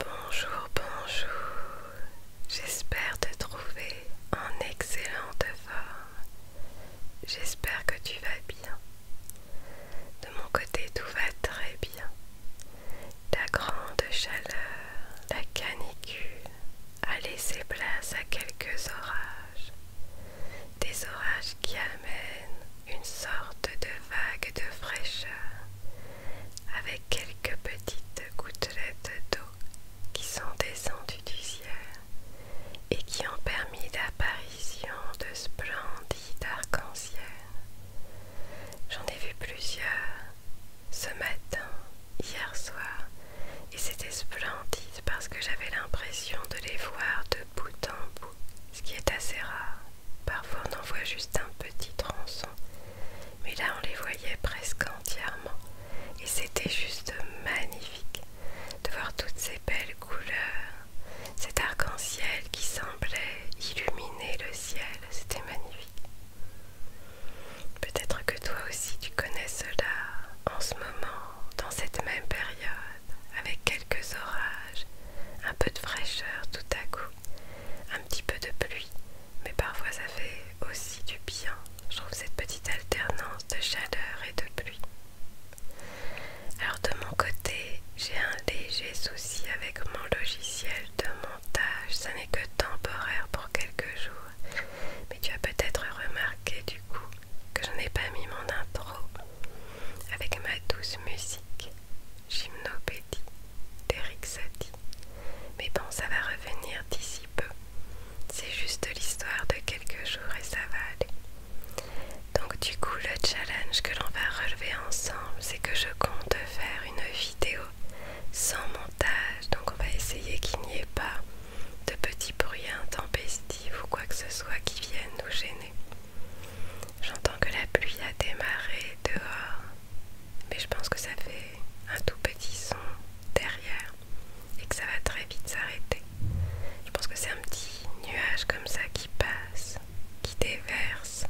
Bonjour, bonjour, j'espère te trouver en excellente forme. J'espère que tu vas bien. De mon côté, tout va très bien. La grande chaleur, la canicule a laissé place à quelques orages. Des orages qui amènent une sorte de vague de fraîcheur avec quelques petites gouttelettes d'eau qui sont descendues du ciel et qui ont permis l'apparition de splendides arc en ciel J'en ai vu plusieurs ce matin, hier soir, et c'était splendide parce que j'avais l'impression de les voir de bout en bout, ce qui est assez rare. Parfois on en voit juste un petit tronçon, mais là on les voyait presque entièrement et c'était juste magnifique de voir toutes ces belles couleurs, cet arc-en-ciel qui semblait illuminer le ciel, c'était magnifique. Peut-être que toi aussi tu connais cela en ce moment, dans cette même période, avec quelques orages, un peu de fraîcheur tout à coup un petit peu de pluie, mais parfois ça fait aussi du bien. Je trouve cette petite alternance de chaleur et de pluie. Alors de mon côté, j'ai un léger souci avec mon logiciel de montage. Ça n'est que temporaire pour quelques jours. Mais tu as peut-être remarqué du coup que je n'ai pas mis mon intro avec ma douce musique. Gymnopédie d'Eric Mais bon, ça va revenir d'ici peu. C'est juste l'histoire de quelques jours et ça va aller. Donc du coup, le challenge que l'on va relever ensemble, c'est que je compte faire une vidéo sans montage. Donc on va essayer qu'il n'y ait pas de petits bruits intempestifs ou quoi que ce soit qui viennent nous gêner. J'entends que la pluie a démarré dehors, mais je pense que ça fait un tout petit son derrière et que ça va très vite s'arrêter. Je pense que c'est un petit nuage comme ça qui passe, qui déverse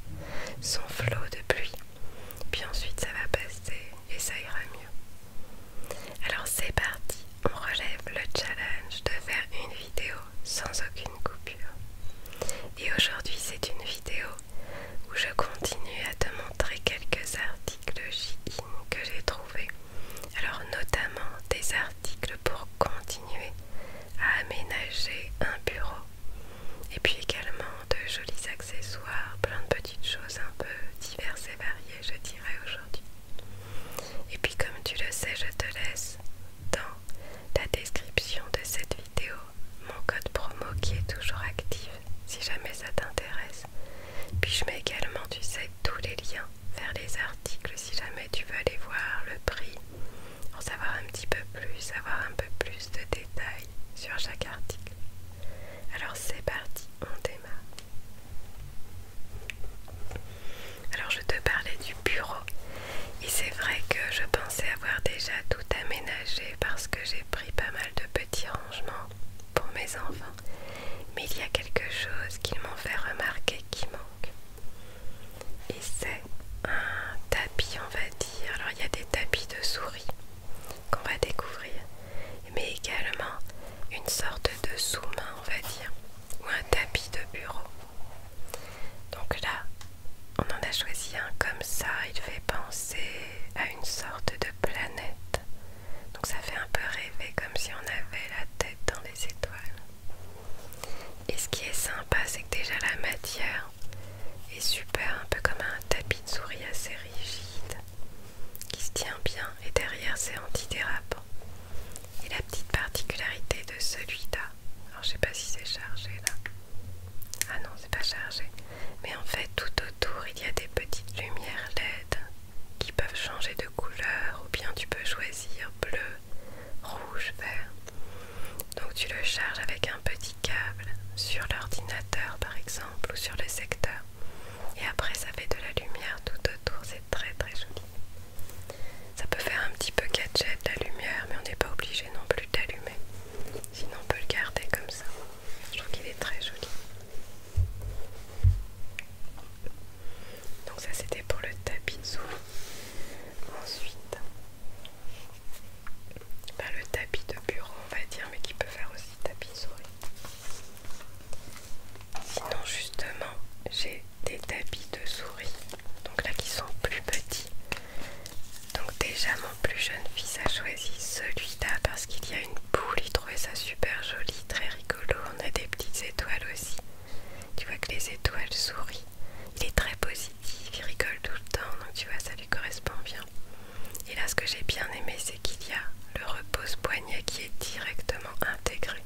son flot de pluie, puis ensuite ça va passer et ça ira mieux. Alors c'est parti, on relève le challenge de faire une vidéo sans aucune coupe. Et aujourd'hui c'est une vidéo où je continue à te montrer quelques articles Shein que j'ai trouvés. Alors notamment des articles pour continuer à aménager un bureau. Et puis également de jolis accessoires, plein de petites choses un peu diverses et variées je dirais aujourd'hui. Et puis comme tu le sais je te laisse dans la description de cette vidéo mon code promo qui est toujours actif si jamais ça t'intéresse. Puis je mets également, tu sais, tous les liens vers les articles si jamais tu veux aller voir le prix, en savoir un petit peu plus, avoir un peu plus de détails sur chaque article. Alors c'est parti, on démarre. Alors je te parlais du bureau. Et c'est vrai que je pensais avoir déjà tout aménagé parce que j'ai pris pas mal de petits rangements pour mes enfants. Mais il y a quelque chose qu'ils m'ont fait remarquer qui manque. Et c'est un tapis, on va dire. Alors il y a des tapis de souris qu'on va découvrir, mais également une sorte de sous-main, on va dire, ou un tapis de bureau. Donc là, on en a choisi un comme ça, il fait penser à une sorte de planète. Donc ça fait un peu rêver comme si on avait la tête dans les étoiles. Et ce qui est sympa, c'est que déjà la matière est super, un peu comme un tapis de souris assez rigide qui se tient bien et derrière c'est antidérapant. Et la petite particularité de celui-là, alors je sais pas si c'est chargé là. Ah non, c'est pas chargé. Mais en fait, tout autour, il y a des petites lumières LED qui peuvent changer de couleur ou bien tu peux choisir bleu, rouge, vert. Donc tu le charges avec un petit câble sur l'ordinateur par exemple ou sur le secteur. Et après ça fait de la lumière tout autour, c'est très très joli. Ça peut faire un petit peu gadget la lumière, mais on n'est pas obligé non plus d'allumer. Sinon, on peut le garder comme ça. Je trouve qu'il est très joli. Donc ça, c'était pour le tapis de souris. Ensuite, ben, le tapis de bureau, on va dire, mais qui peut faire aussi tapis de souris. Sinon, justement, j'ai des tapis de souris donc là qui sont plus petits. Donc déjà mon plus jeune fils a choisi celui-là parce qu'il y a une boule, il trouvait ça super joli, très rigolo. On a des petites étoiles aussi. Tu vois que les étoiles sourient. Il est très positif, il rigole tout le temps, donc tu vois ça lui correspond bien. Et là ce que j'ai bien aimé c'est qu'il y a le repose poignet qui est directement intégré.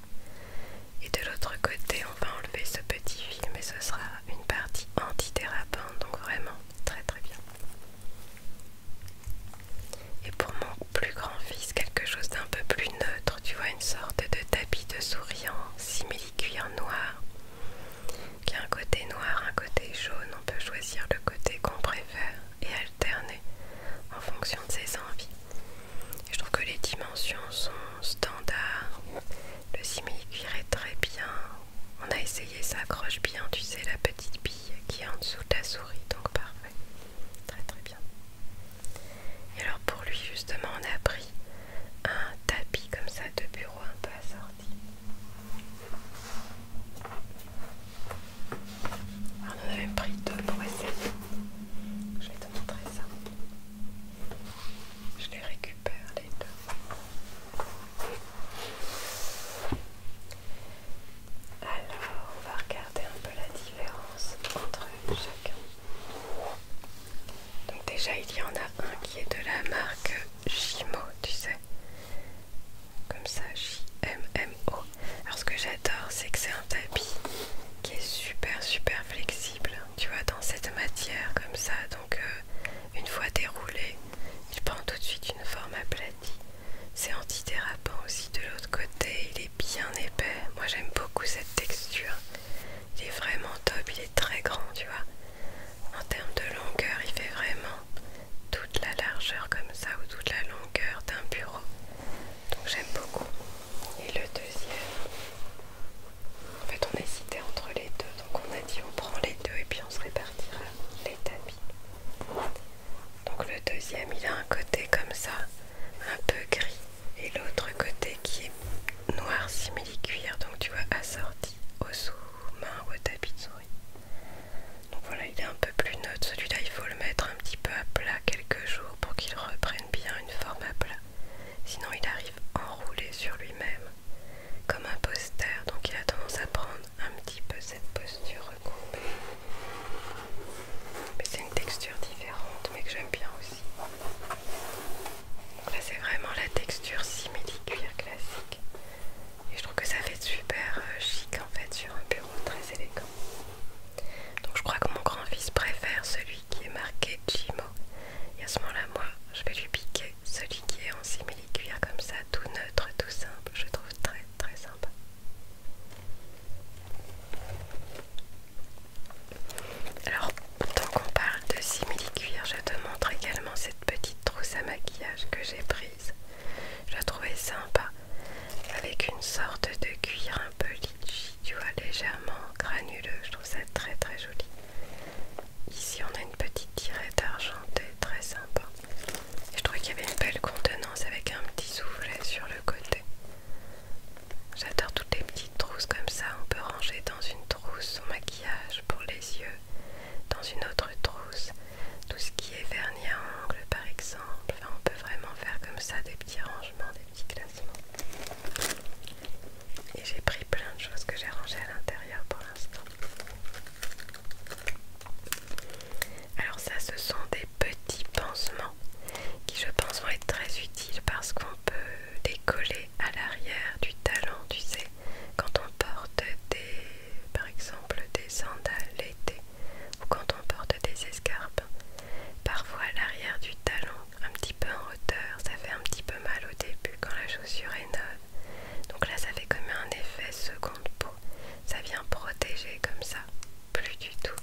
Et de l'autre côté on va enlever ce petit fil mais ce sera une partie anti-dérapant donc vraiment très très bien. Et pour mon plus grand fils, quelque chose d'un peu plus neutre, tu vois, une sorte de tapis de souriant, simili-cuir noir, qui a un côté noir, un côté jaune, on peut choisir le côté qu'on préfère et alterner en fonction de ses envies. je trouve que les dimensions sont standard. Le simili-cuir très bien. On a essayé, ça accroche bien, tu sais, la petite bille qui est en dessous de la souris, donc parfait. Très très bien. Et alors pour lui, justement, on a pris un tapis comme ça de bureau un peu assorti. Ah, on en pris deux pour Je vais te montrer ça. Je les récupère les deux. Alors, on va regarder un peu la différence entre chacun. Donc déjà, il y en a un qui est de la marque Jimo, tu sais. Comme ça, J-M-M-O. Alors ce que j'adore, c'est que c'est un tapis qui est super super flexible tu vois, dans cette matière comme ça. Donc, euh, une fois déroulé, il prend tout de suite une forme aplatie. C'est antidérapant aussi de l'autre côté, il est bien épais. Moi j'aime beaucoup cette texture. Il est vraiment top, il est très grand, tu vois. En termes de longueur, il fait vraiment toute la largeur comme ça ou toute la longueur d'un bureau. Donc j'aime beaucoup. Et le deuxième, en fait, on hésitait entre les deux, donc on a dit on prend les deux et puis on se répartira les tapis. Donc le deuxième, il a un côté comme ça, un peu gris, et l'autre côté qui est noir simili-cuir, donc tu vois assorti au sous main ou au tapis de souris. Donc voilà, il est un peu plus neutre. Celui-là, il faut le mettre un petit peu à plat quelques jours pour qu'il reprenne bien une forme à plat sinon il arrive enroulé sur lui-même, comme un poster, donc il a tendance à prendre un petit peu cette posture recoupée. Mais c'est une texture différente, mais que j'aime bien aussi. là c'est vraiment la texture simili-cuir classique. Et je trouve que ça fait super euh, chic en fait sur un bureau très élégant. Donc je crois que mon grand-fils préfère celui qui est marqué Jimo. Et à ce moment-là, moi, je vais lui piquer celui qui est en simili-cuir comme ça, tout neutre, tout simple. Je trouve très très sympa. Alors, tant qu'on parle de simili-cuir, je te montre également cette petite trousse à maquillage que j'ai prise. Je la trouvais sympa, avec une sorte de cuir un peu litchi, tu vois, légèrement granuleux. Je trouve ça très très joli. Ici on a une petite tirette argentée très sympa. Et je trouvais qu'il y avait une belle contenance avec un petit soufflet sur le côté. J'adore toutes les petites trousses comme ça. On peut ranger dans une trousse son maquillage pour les yeux, dans une autre trousse tout ce qui est vernis à ongles par exemple. Enfin, on peut vraiment faire comme ça des petits rangements, des petits classements. Et j'ai pris plein de choses que j'ai rangées à l'intérieur pour l'instant. Alors ça, ce sont des petits pansements qui je pense vont être très utiles parce qu'on peut décoller à l'arrière du talon, tu sais, quand on porte des, par exemple des sandales l'été ou quand on porte des escarpes, Parfois à l'arrière du talon, un petit peu en hauteur, ça fait un petit peu mal au début quand la chaussure est neuve. Donc là, ça fait comme un effet seconde peau. Ça vient protéger comme ça, plus du tout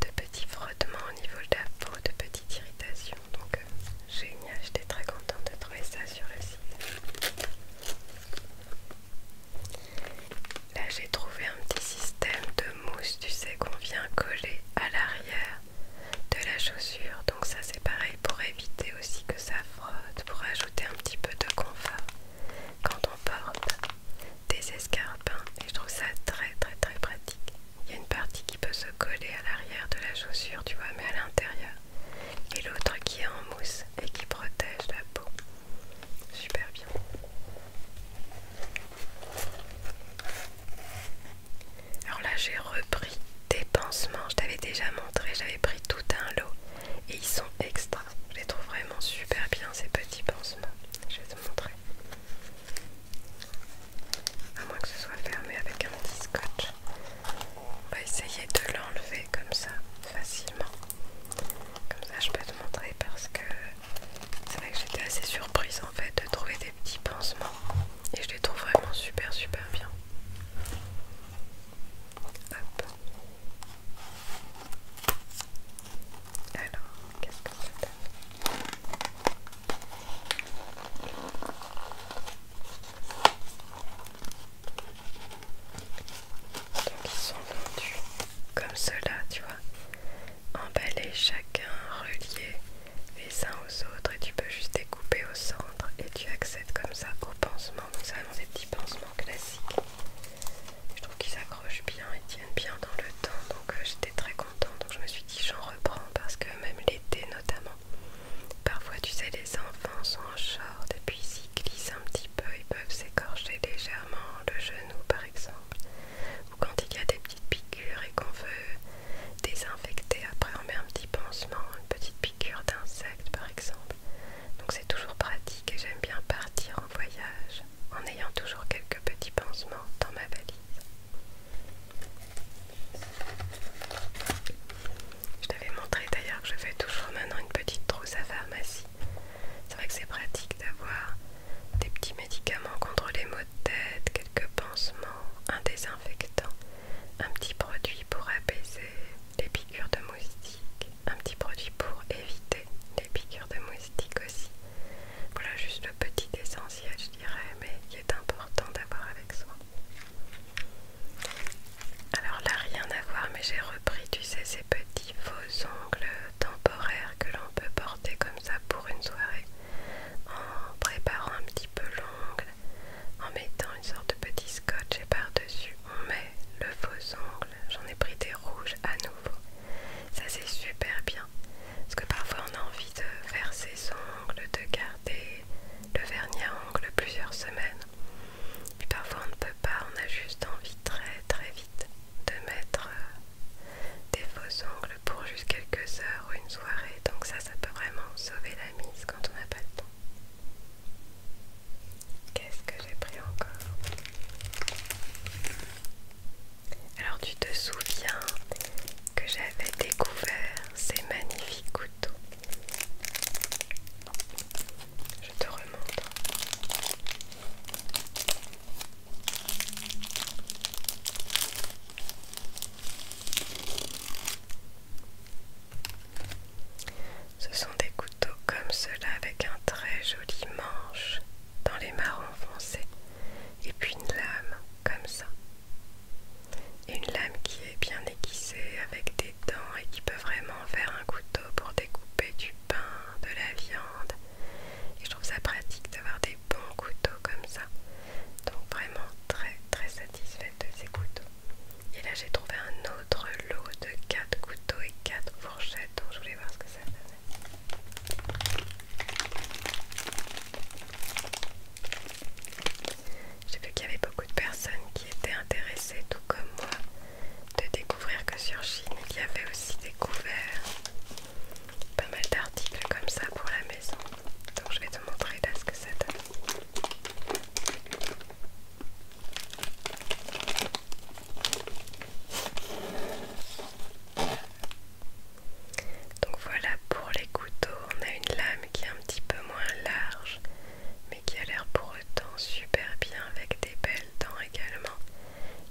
de petits frottements au niveau de la peau, de petites irritations. Donc euh, génial, j'étais très contente de trouver ça sur le site. Là, j'ai trouvé un petit système de mousse, tu sais, qu'on vient coller à l'arrière de la chaussure. Donc ça c'est pareil pour éviter aussi que ça frotte, pour ajouter un petit peu de confort quand on porte des escarpins. Et je trouve ça très très très pratique. Il y a une partie qui peut se coller à l'arrière de la chaussure, tu vois, mais à l'intérieur. Et l'autre qui est en mousse et qui protège la peau. Super bien. Alors là j'ai repris des pansements, je t'avais déjà montré, j'avais pris tout un lot et ils sont extra. Je les trouve vraiment super bien ces petits pansements. Je vais te montrer. À moins que ce soit fermé avec un petit scotch. On va essayer de l'enlever comme ça, facilement. Comme ça je peux te montrer parce que c'est vrai que j'étais assez surprise en fait de trouver des petits pansements et je les trouve vraiment super super bien. Hop. Alors, qu'est-ce que ça donne Donc ils sont tendus comme cela, tu vois emballés chacun, relié les uns aux autres et tu peux juste découper au centre et tu accèdes comme ça au pansement. Donc c'est des petits pansements classiques. Je trouve qu'ils accrochent bien et tiennent bien dans le temps. Donc euh, j'étais très contente. Donc je me suis dit j'en reprends parce que même l'été notamment, parfois tu sais les enfants sont en short et puis ils glissent un petit peu, ils peuvent s'écorcher légèrement le genou par exemple. Ou quand il y a des piqûre et qu'on veut désinfecter, après on met un petit pansement, une petite piqûre d'insecte par exemple. Donc c'est toujours pratique et j'aime bien partir en voyage en ayant toujours quelques petits pansements dans ma valise. Je t'avais montré d'ailleurs que je fais toujours maintenant une petite trousse à pharmacie. C'est vrai que c'est pratique d'avoir des petits médicaments contre les maux de tête, quelques pansements, un désinfectant, un petit produit pour apaiser les piqûres de moustique un petit produit pour éviter les piqûres de moustiques aussi. Voilà juste le petit essentiel je dirais, mais qui est important d'avoir avec soi. Alors là rien à voir mais j'ai repris tu sais ces petits faux ongles temporaires que l'on peut porter comme ça pour une soirée en préparant un petit peu l'ongle, en mettant une sorte de petit scotch et par-dessus on met le faux ongle. J'en ai pris des rouges à nouveau. Ça c'est super bien. Parce que parfois on a envie de faire ses ongles, de garder le vernis à ongles plusieurs semaines. Puis parfois on ne peut pas, on a juste envie très très vite de mettre euh, des faux ongles pour juste quelques heures ou une soirée, donc ça, ça peut vraiment sauver la mise quand on n'a pas le temps. Qu'est-ce que j'ai pris encore Alors tu te souviens que j'avais découvert ces magnifiques couteaux. Je te remonte. Ce sont des couteaux comme cela avec un très joli manche dans les marrons foncés et puis une lame comme ça. une lame qui est bien aiguisée avec des dents et qui peut vraiment faire un couteau pour découper du pain, de la viande. Et je trouve ça pratique d'avoir des de bons couteaux comme ça. Donc vraiment très très satisfaite de ces couteaux. Et là j'ai trouvé un autre lot de 4 couteaux et 4 fourchettes. Donc je voulais voir ce que ça donnait. J'ai vu qu'il y avait beaucoup de personnes qui étaient intéressées, tout comme moi, de découvrir que sur Chine il y avait aussi des couverts pas mal d'articles comme ça pour la maison. Donc je vais te montrer ce que ça donne. Donc voilà pour les couteaux, on a une lame qui est un petit peu moins large mais qui a l'air pour autant super bien avec des belles dents également.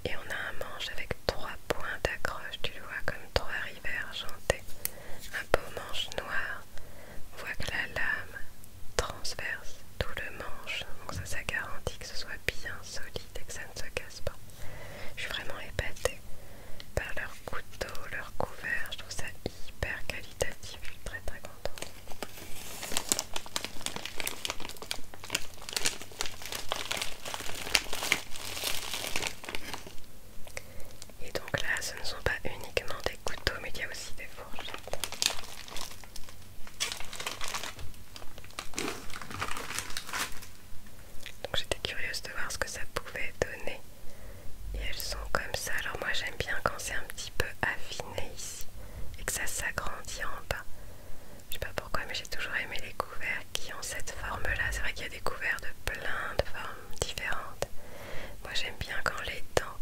Et on a un manche avec trois points d'accroche, tu le vois comme trois rivets argentés, un beau manche noir. On voit que la lame transverse tout le manche, donc ça, ça garantit que ce soit bien solide et que ça ne se casse pas. Je suis vraiment épatée par leur couteau, leur couvert, je trouve ça hyper qualitatif, je suis très très contente. Et donc là, ce ne sont pas uniquement des couteaux, mais il y a aussi des fourchettes. Donc j'étais curieuse de voir ce que ça pouvait donner. Et elles sont comme ça. Alors moi j'aime bien quand c'est un petit peu affiné ici et que ça s'agrandit en bas pourquoi, mais j'ai toujours aimé les couverts qui ont cette forme-là. C'est vrai qu'il y a des couverts de plein de formes différentes. Moi, j'aime bien quand les dents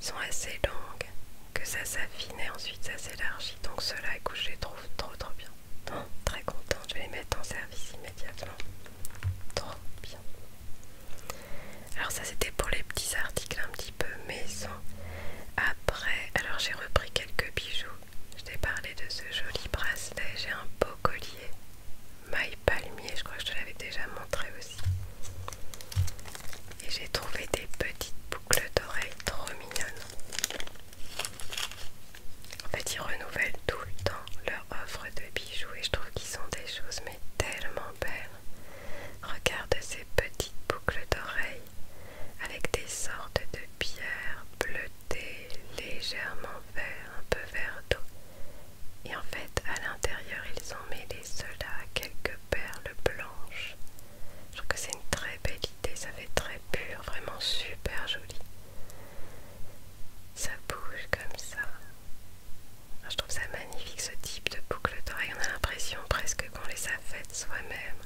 sont assez longues, que ça s'affine et ensuite ça s'élargit. Donc ceux-là, écoute, je les trouve trop trop bien. très contente, je vais les mettre en service immédiatement. Trop bien. Alors ça, c'était pour les petits articles un petit peu maison. Après, alors j'ai repris quelques bijoux je t'ai parlé de ce joli bracelet, j'ai un beau collier. Maille palmier, je crois que je te l'avais déjà montré aussi. Et j'ai trouvé des petites boucles d'oreilles trop mignonnes. En fait, ils renouvellent tout le temps leur offre de bijoux et je trouve qu'ils sont des choses mais tellement belles. Regarde ces petites boucles d'oreilles avec des sortes de pierres bleues des légèrement vert, un peu vert d'eau. Et en fait, à l'intérieur, ils ont mêlé cela à quelques perles blanches. Je trouve que c'est une très belle idée, ça fait très pur, vraiment super joli. Ça bouge comme ça. Ah, je trouve ça magnifique ce type de boucle d'oreille. On a l'impression presque qu'on les a faites soi-même.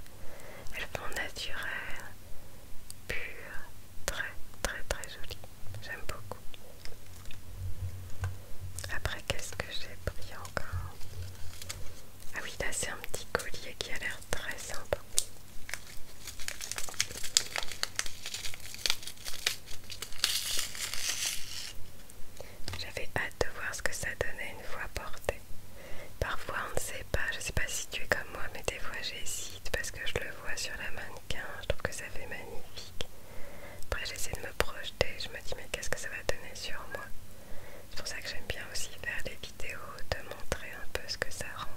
Elles font naturelles, Très très très joli. J'aime beaucoup. Après, qu'est-ce que j'ai pris encore Ah oui, là c'est un petit collier qui a l'air très sympa. J'avais hâte de voir ce que ça donnait une fois porté. Parfois on ne sait pas, je sais pas si tu es comme moi, mais des fois j'hésite parce que je le vois sur la mannequin, je trouve que ça fait magnifique. Après j'essaie de me projeter, je me dis mais qu'est-ce que ça va donner sur moi C'est pour ça que j'aime bien aussi faire des vidéos, de montrer un peu ce que ça rend.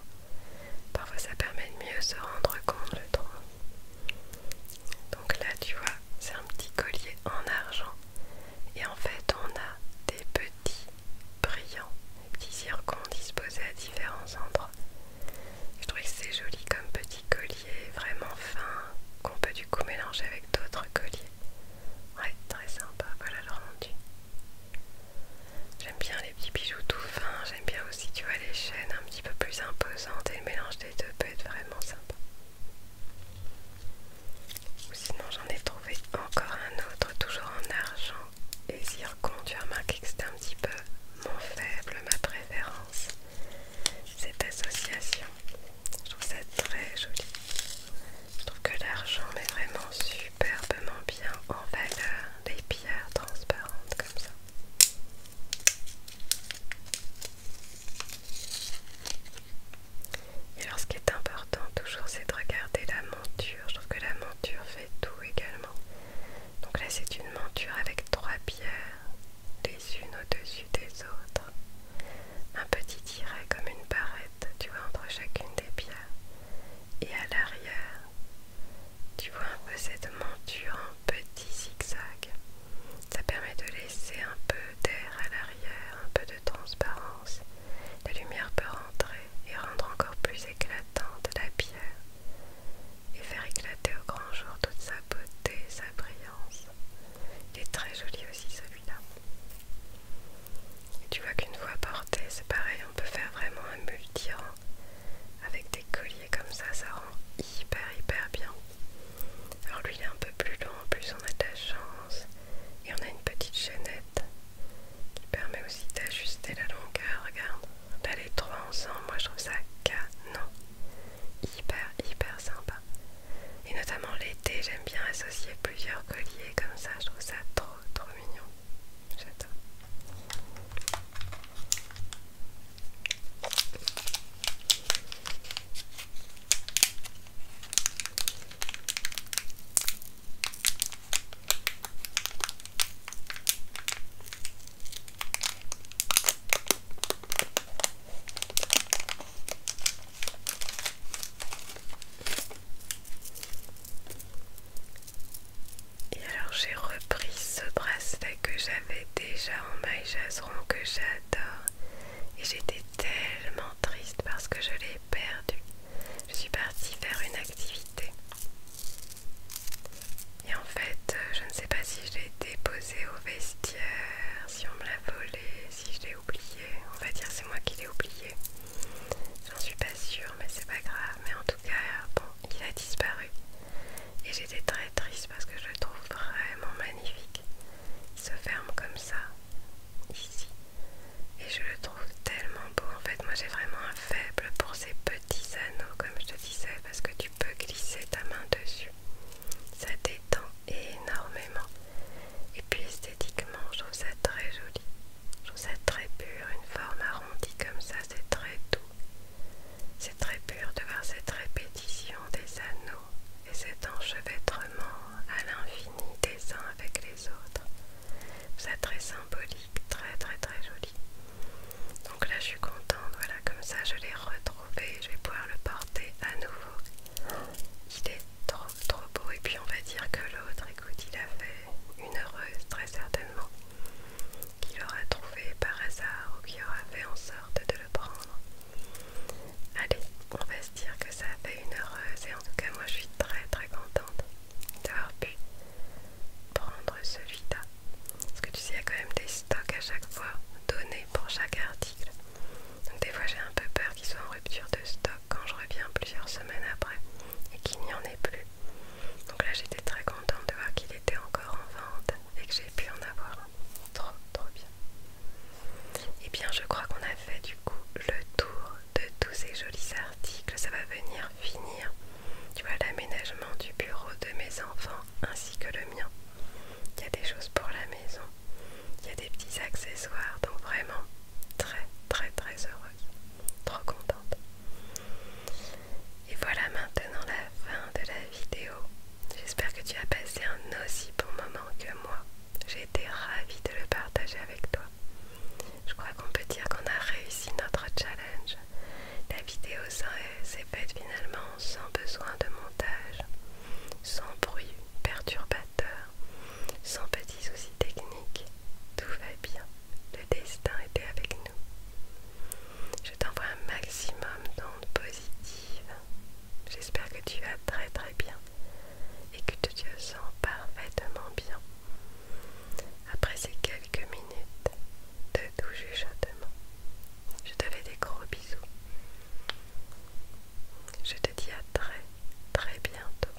Parfois ça permet de mieux se rendre compte, le droit Donc là tu vois, c'est un petit collier en argent. Et en fait on a des petits les petits zircons disposés à différents endroits. Je trouve que c'est joli comme petit collier, vraiment fin, qu'on peut du coup mélanger avec d'autres colliers. Ouais, très sympa, voilà leur rendu. J'aime bien les petits bijoux tout fins, j'aime bien aussi, tu vois, les chaînes un petit peu plus imposantes et le mélange des deux peut être vraiment sympa. sinon, j'en ai trouvé encore un autre, toujours en argent et zircon. Quand tu tu remarqué que c'était un petit peu mon faible, ma préférence, cette association. Je trouve ça très joli. Je trouve que l'argent met vraiment superbement bien en valeur les pierres transparentes comme ça. Et alors ce qui est important toujours c'est de regarder la je trouve que la monture fait tout également. Donc là, c'est une monture avec trois pierres, les unes au-dessus des autres. Un petit tiret comme une barrette, tu vois, entre chacune des pierres. Et à l'arrière, tu vois un peu cette monture en petit zigzag. Ça permet de laisser un peu d'air à l'arrière, un peu de transparence. La lumière peut rentrer et rendre encore plus éclatante la pierre et faire éclater au grand jour toute sa beauté sa brillance. Il est très joli aussi celui-là. Tu vois qu'une fois porté, c'est pareil, on peut faire vraiment un multi avec des colliers comme ça, ça rend hyper hyper bien. Alors lui il est un peu plus long, en plus on a de chance et on a une petite chaînette qui permet aussi d'ajuster la longueur. Regarde, d'aller trop trois ensemble, moi je trouve ça canon, hyper hyper sympa. Et notamment l'été, j'aime bien associer plusieurs colliers comme ça, je trouve ça trop trop mignon. J'adore. Et alors j'ai repris ce bracelet que j'avais déjà en maille jaseron que j'adore et j'étais tellement triste parce que je l'ai perdu. Je suis partie faire une activité et en fait, euh, je ne sais pas si je l'ai déposé au vestiaire, si on me l'a volé, si je l'ai oublié, On va dire c'est moi qui l'ai oublié, J'en suis pas sûre, mais c'est pas grave. Mais en tout cas, bon, il a disparu. Et j'étais très triste parce que je le trouve vraiment magnifique. Il se ferme comme ça, ici et je le trouve tellement beau en fait moi j'ai vraiment un faible pour ces petits anneaux comme je te disais parce que tu peux glisser ta main dessus ça détend énormément et puis esthétiquement je trouve ça très joli je trouve ça très pur une forme arrondie comme ça c'est très doux c'est très pur de voir cette répétition des anneaux et cet enchevêtrement à l'infini des uns avec les autres c'est très symbolique, très très très joli. Donc là je suis contente, voilà comme ça je l'ai retrouvé, je vais pouvoir le porter à nouveau. Il est trop trop beau et puis on va dire que l'autre, écoute, il a fait une heureuse très certainement, qu'il aura trouvé par hasard ou qu'il aura fait en sorte de le prendre. Allez, on va se dire que ça a fait une heureuse et en tout cas moi je suis très très contente d'avoir pu prendre celui-là. Parce que tu sais, il y a quand même des stocks à chaque fois donnés pour chaque article. Donc des fois j'ai un peu peur qu'ils soit en rupture de stock quand je reviens plusieurs semaines après et qu'il n'y en ait plus. Donc là j'étais très contente de voir qu'il était encore en vente et que j'ai pu en avoir Trop trop bien. Et eh bien je crois qu'on a fait du coup le tour de tous ces jolis articles ça va venir finir, tu vois, l'aménagement du bureau de mes enfants ainsi que le mien. Il y a des choses pour la maison, il y a des petits accessoires, donc vraiment très très très heureuse, trop contente. Et voilà maintenant la fin de la vidéo. J'espère que tu as passé un aussi bon moment que moi. J'ai été ravie de le partager avec toi. Je crois qu'on peut dire qu'on a réussi notre challenge. La vidéo s'est faite finalement sans besoin de montage, sans bruit perturbateur, sans petits soucis techniques. Tout va bien. Le destin était avec nous. Je t'envoie un maximum d'ondes positives. J'espère que tu vas très très bien et que tu te sens parfaitement bien. Après ces quelques minutes de doux jugement, je te fais des gros bisous. Je te dis à très très bientôt.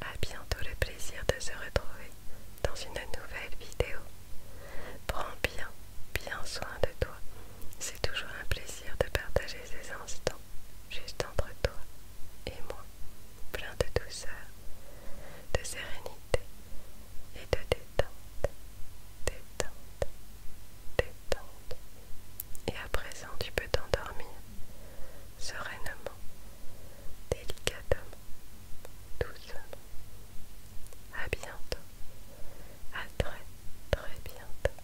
À bientôt le plaisir de se retrouver dans une nouvelle vidéo. Prends bien, bien soin de toi. C'est toujours un plaisir de partager ces instants juste entre toi et moi plein de douceur, de sérénité et de détente, détente, détente. Et à présent, tu peux t'endormir sereinement, délicatement, doucement. À bientôt, à très très bientôt.